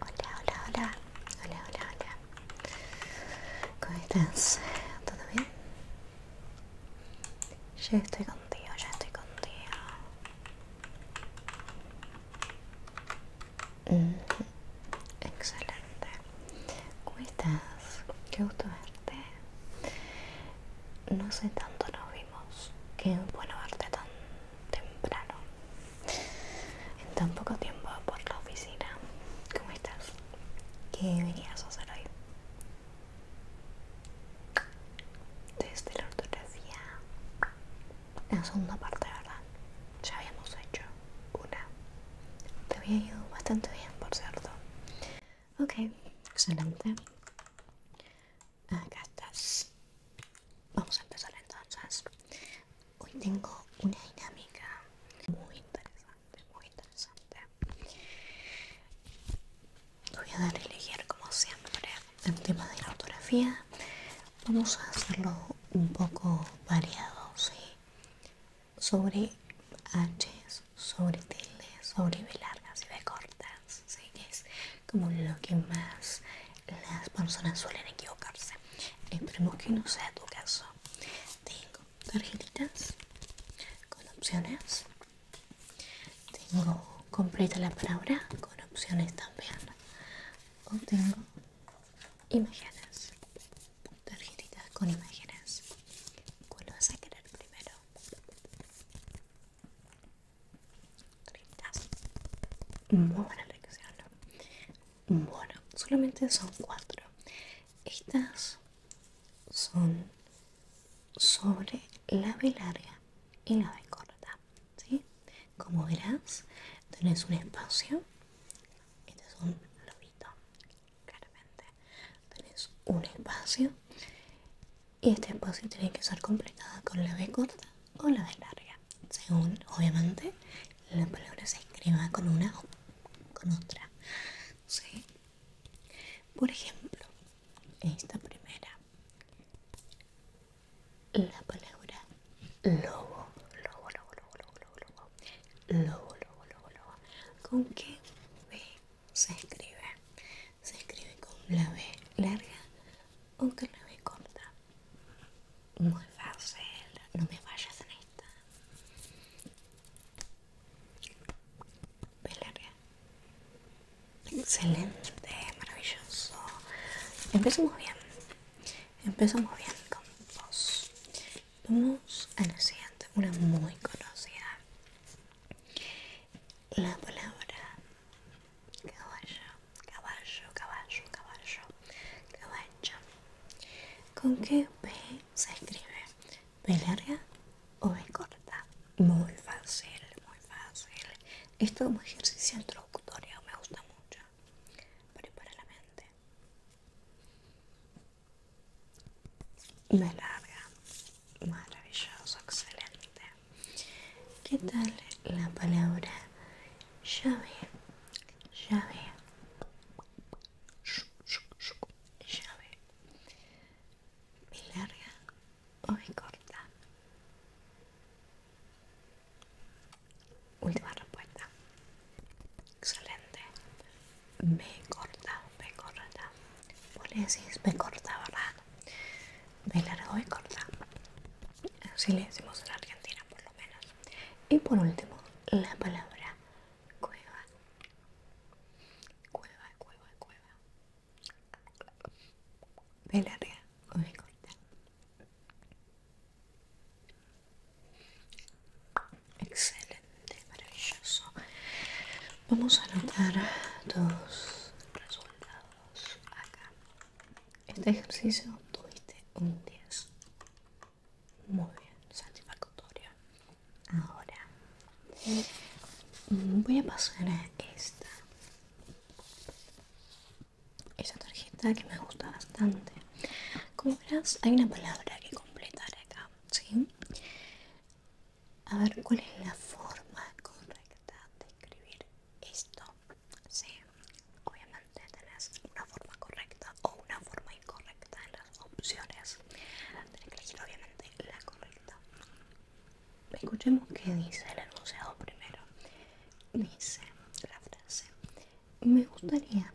Hola, hola, hola, hola, hola, hola. ¿Cómo estás? ¿Todo bien? Ya estoy contigo, ya estoy contigo. Excelente. ¿Cómo estás? Qué gusto verte. No sé tanto nos vimos. Qué bueno verte tanto temprano en tan poco tiempo por la oficina. ¿Cómo estás? ¿Qué venías a hacer hoy? Desde la ortografía, la segunda parte, ¿verdad? Ya habíamos hecho una. Te había ido bastante bien, por cierto. Ok, excelente. Acá estás. Vamos a empezar entonces. Hoy tengo una dinámica muy interesante, muy interesante. Voy a dar a elegir como siempre el tema de la ortografía. Vamos a hacerlo un poco variado, ¿sí? Sobre h sobre tildes, sobre B largas y B cortas, ¿sí? es como lo que más las personas suelen equivocarse. Esperemos que no sea tu caso. Tengo tarjetitas con opciones. Tengo completa la palabra con opciones también. O tengo imágenes. Tarjetitas con imágenes. ¿Cuál vas a querer primero? 30 Muy buena elección. Bueno, solamente son cuatro. Estas son sobre la B larga y la B corta. ¿sí? Como verás, tenés un espacio. Este es un lobito, claramente. Tenés un espacio y este espacio tiene que ser completada con la B corta o la B larga, según obviamente la palabra se escriba con una o con otra. Por ejemplo, esta primera, la palabra lobo, lobo, lobo, lobo, lobo, lobo, lobo, lobo, lobo, lobo, lobo. ¿Con qué B se escribe? se escribe con la B larga o con la B corta. Muy fácil, no me vayas en esta. B larga. Excelente, maravilloso. Empezamos bien. Empezamos bien con vos. Vamos a la siguiente, una muy conocida la palabra caballo, caballo, caballo, caballo, caballo. ¿Con qué P se escribe? ¿P larga o B corta? Muy fácil, muy fácil. Esto un ejercicio introductorio me gusta mucho. Prepara la mente. B larga, Maravilloso, excelente. ¿Qué tal la palabra llave? Llave. Llave. mi larga o corta? Última respuesta. Excelente. Me corta, me corta. Vos le decís, me corta, ¿verdad? Me largo y corta. Así le decimos en Argentina, por lo menos. Y por último, la palabra cueva. Cueva, cueva, cueva. Me larga o me corta. Excelente, maravilloso. Vamos a anotar tus resultados acá. Este ejercicio tuviste un 10. Muy bien, satisfactorio. Ahora voy a pasar a esta. Esta tarjeta que me gusta bastante. Como verás, hay una palabra que completar acá, ¿sí? a ver cuál es la forma correcta de escribir esto. Sí, obviamente tenés una forma correcta o una forma incorrecta en las opciones. Tienes que elegir obviamente la correcta. Escuchemos qué dice el enunciado primero. Dice la frase. Me gustaría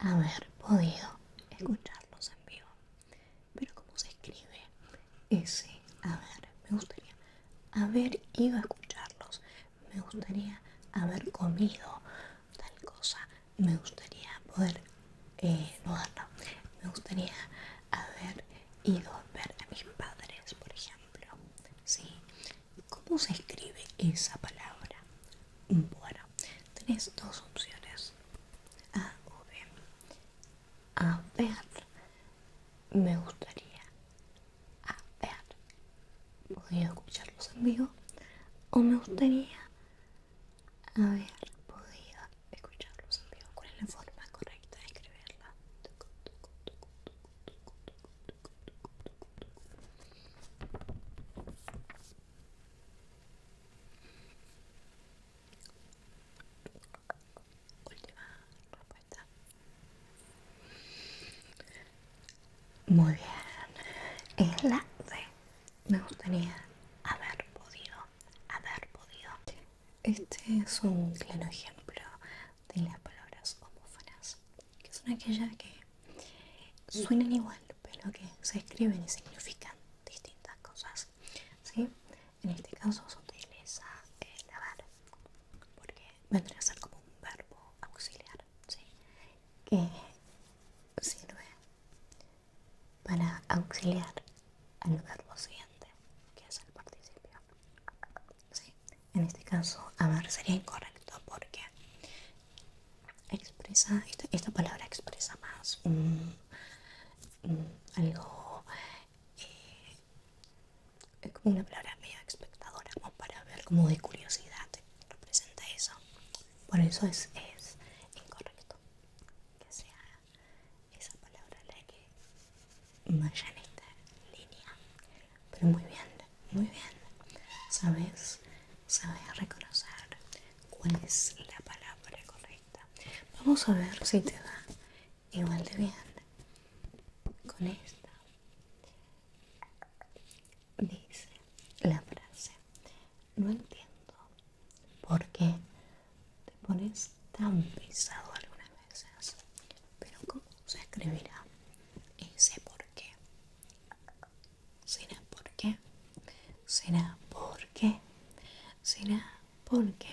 haber podido escucharlos en vivo. Pero cómo se escribe ese a ver, me gustaría haber ido a escucharlos, me gustaría haber comido tal cosa, me gustaría poder eh, no me gustaría haber ido a ver a mis padres, por ejemplo. ¿Sí? ¿Cómo se escribe esa palabra? Bueno, tenés dos opciones. A o B. A ver, me gustaría. A ver, podría escucharlos en vivo. O me gustaría. A ver, escucharlos en vivo. ¿Cuál es la forma correcta de escribirla? Última respuesta. Muy bien. Es la D Me gustaría haber podido, haber podido. Este es un claro ejemplo de las palabras homófonas, que son aquellas que suenan igual, pero que se escriben y significan distintas cosas. ¿sí? En este caso se utiliza el eh, haber porque vendría a ser como un verbo auxiliar ¿sí? que sirve para auxiliar al verbo siguiente que es el participio. En este caso, amar sería incorrecto porque expresa, esta, esta palabra expresa más algo eh, es como una palabra medio espectadora como para ver como de curiosidad representa eso por eso es, es incorrecto que sea esa palabra la que vaya esta línea pero muy bien muy bien sabes sabes reconocer cuál es la palabra correcta Vamos a ver si te da igual de bien con esta. Dice la frase, no entiendo por qué te pones tan pisado algunas veces, pero ¿cómo se escribirá ese por qué? ¿Será por qué? ¿Será por qué? ¿Será ¿Por qué?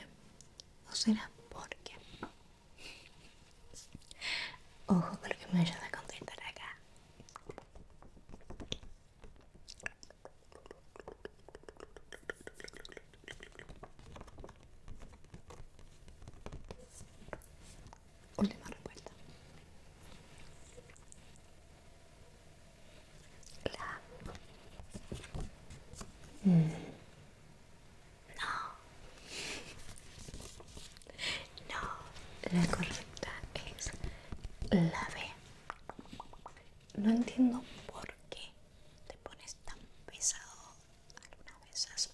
¿O será porque? Ojo con lo que me ayuda a contestar acá. Última respuesta. La. No. No, la correcta es la B. No entiendo por qué te pones tan pesado algunas veces.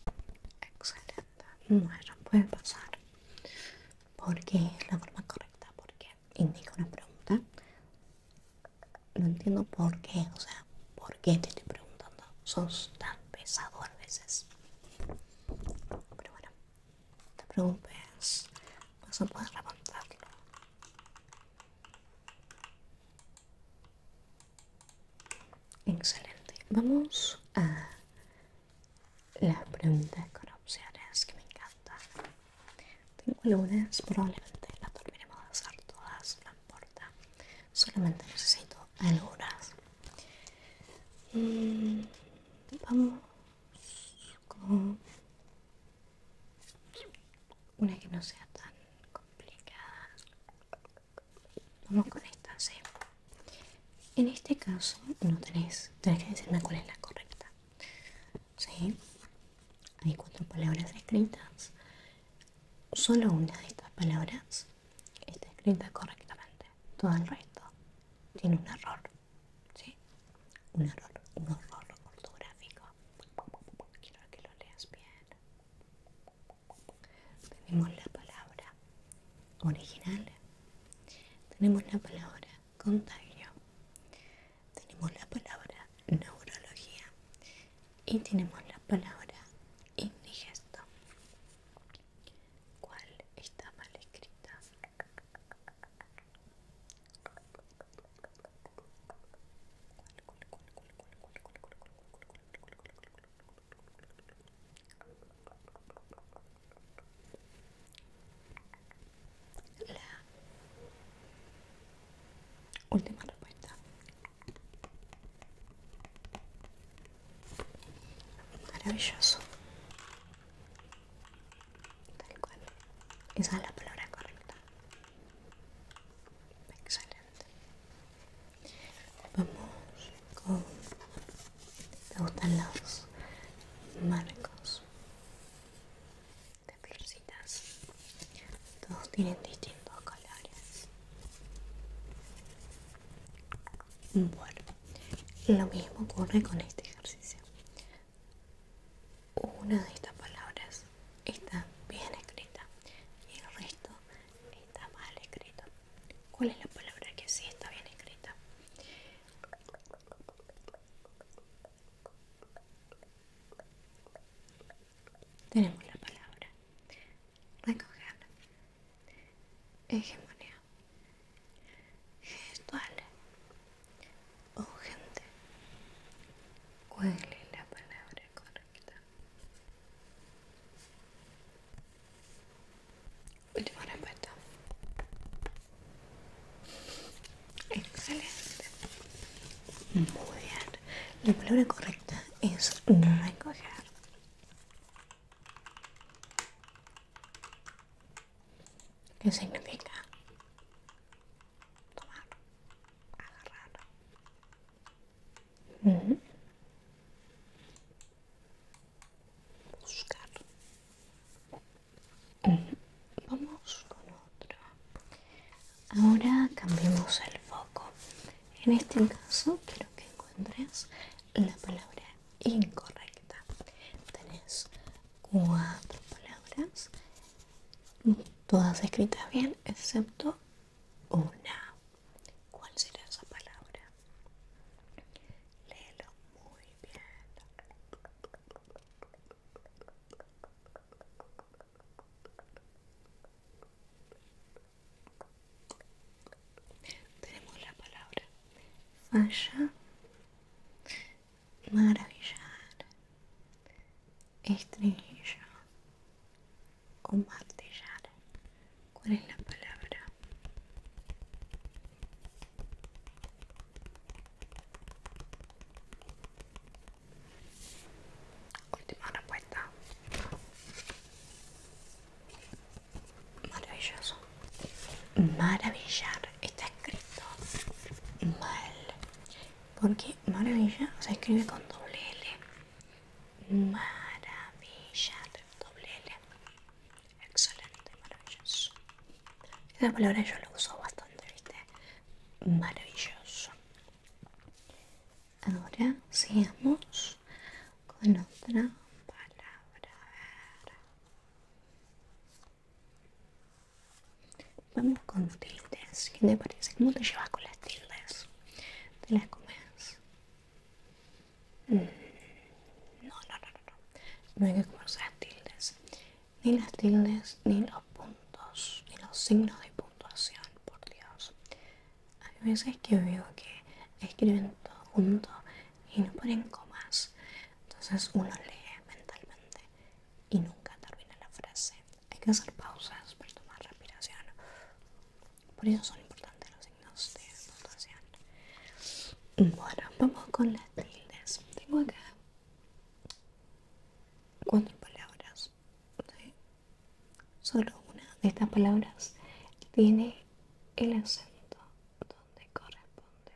Excelente. Bueno, puede pasar. Porque es la forma correcta, porque indica una pregunta no entiendo por qué, o sea, por qué te estoy preguntando. Sos tan pesado a veces. Pero bueno, te preocupes, vas a poder levantarlo. Excelente. Vamos a la pregunta con opciones que me encanta tengo lunes, probablemente las dormiremos a hacer todas, no importa. Solamente necesito algunas. Eh, vamos con una que no sea tan complicada. Vamos con esta, sí. En este caso no tenéis, que decirme cuál es la correcta. ¿sí? Hay cuatro palabras escritas. Solo una de estas palabras está escrita correctamente. Todo el resto tiene un error. ¿sí? Un error, un error ortográfico. Quiero que lo leas bien. Tenemos la palabra original. Tenemos la palabra contagio tenemos la palabra neurología y tenemos la palabra indigesto. ¿Cuál está mal escrita? La última respuesta. Maravilloso. Tal cual. Esa es la palabra correcta. Excelente. Vamos con... ¿Te gustan los marcos? de florcitas. Todos tienen distintos colores. Bueno, lo mismo ocurre con este ejercicio. Una de estas palabras está bien escrita y el resto está mal escrito. ¿Cuál es la palabra que sí está bien escrita? Tenemos la palabra. Recoger. Hegemonía. Gestual. Urgente. ¿Cuál la palabra correcta? Última respuesta. Excelente. Muy bien. La palabra correcta es recoger. ¿Qué significa? Tomar, agarrar. Mhm. Buscar, Vamos con otro Ahora cambiamos el foco. En este caso quiero que encuentres la palabra incorrecta. Tenés cuatro palabras, todas escritas bien, excepto una. ¿Cuál será esa palabra? Léelo muy bien. Tenemos la palabra falla, maravillar, estrella o martillar. ¿Cuál es la palabra? Última respuesta. Maravilloso. Maravillar. Está escrito mal. Porque maravilla se escribe con doble L. Maravillar. Doble L. Excelente, maravilloso. Esa palabra yo la uso bastante, ¿viste? Maravilloso. Ahora sigamos con otra palabra. Vamos con tildes. que te parece? ¿Cómo te llevas con las tildes? ¿Te las comes? Mm. No, no, no, no, no hay que comerse las tildes, ni las tildes, ni los puntos, ni los signos de puntuación, por Dios. Hay veces que veo que escriben todo junto y no ponen comas, entonces uno lee mentalmente y nunca termina la frase. Hay que hacer pausas para tomar respiración, por eso son importantes los signos de puntuación. Bueno, vamos con las tildes. Tengo acá cuatro palabras. Solo una de estas palabras tiene el acento donde corresponde.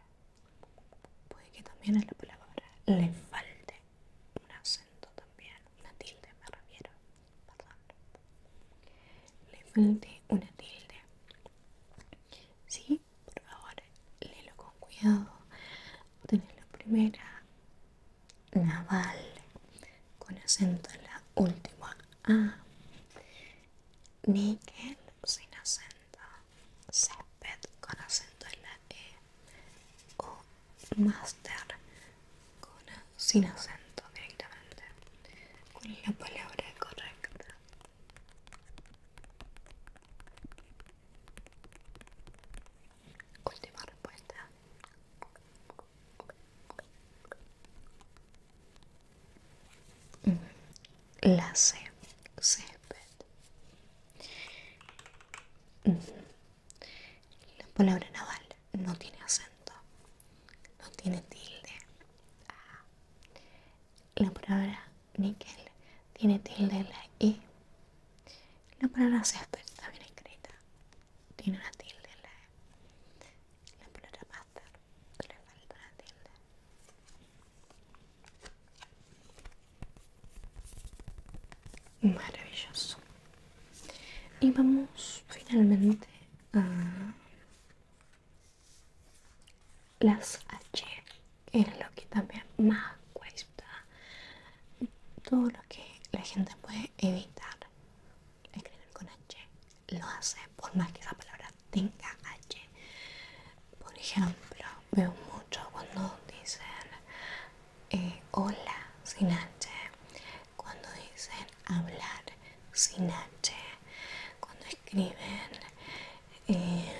Puede que también a la palabra le falte un acento también, una tilde me refiero, perdón. Le falte una tilde. ¿Sí? por favor léelo con cuidado tenés la primera naval con acento en la última A Miguel sin acento césped con acento en la E o master sin acento directamente con la palabra correcta? Última respuesta. Mm, la C, césped. Mm. La palabra naval no tiene acento, no tiene tilde. Ah. La palabra níquel tiene tilde la I. La palabra césped está bien escrita. Tiene una tilde la E. La palabra pasta le falta una tilde. Maravilloso. Y vamos finalmente a las H es lo que también más cuesta todo lo que la gente puede evitar escribir con H lo hace por más que esa palabra tenga H por ejemplo veo mucho cuando dicen eh, hola sin H cuando dicen hablar sin H cuando escriben eh,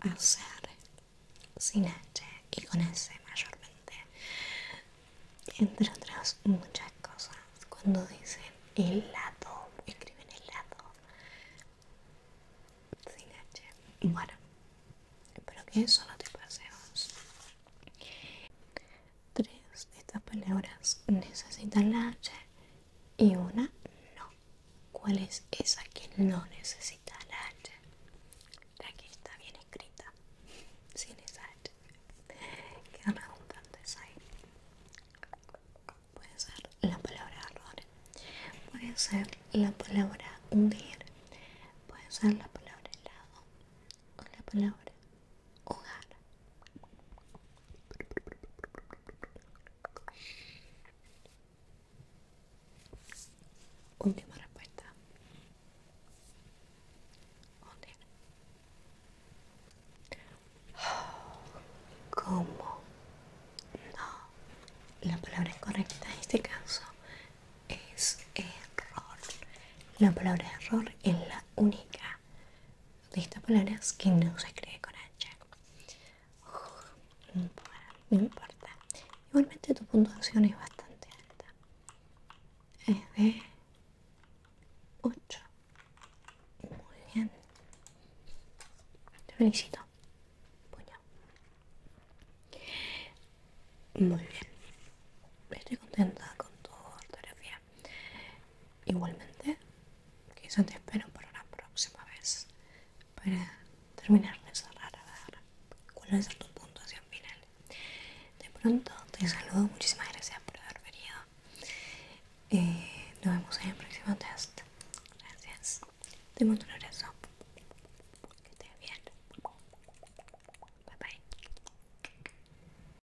hacer sin H y con S mayormente entre otras muchas cosas cuando dicen helado escriben helado sin H bueno espero que eso no te pase Tres de estas palabras necesitan la H y una no. ¿Cuál es esa que no necesita la H? La que está bien escrita, sin esa H. Qué es Puede ser la palabra error, puede ser la palabra hundir, puede ser la palabra helado o la palabra hogar. Última respuesta. No. La palabra correcta en este caso es error. La palabra error es la única de estas palabras que no se escribe con H. no, importa, Igualmente tu puntuación es bastante alta. Es de 8. Muy bien. Te felicito. Puño. Muy bien. Estoy contenta con tu ortografía. Igualmente, eso te espero para la próxima vez para terminar de cerrar a ver cuál va a ser tu puntuación final. De pronto, te saludo. Muchísimas gracias por haber venido. Eh, nos vemos en el próximo test. Gracias. Te mando un abrazo. Que estés bien. Bye bye.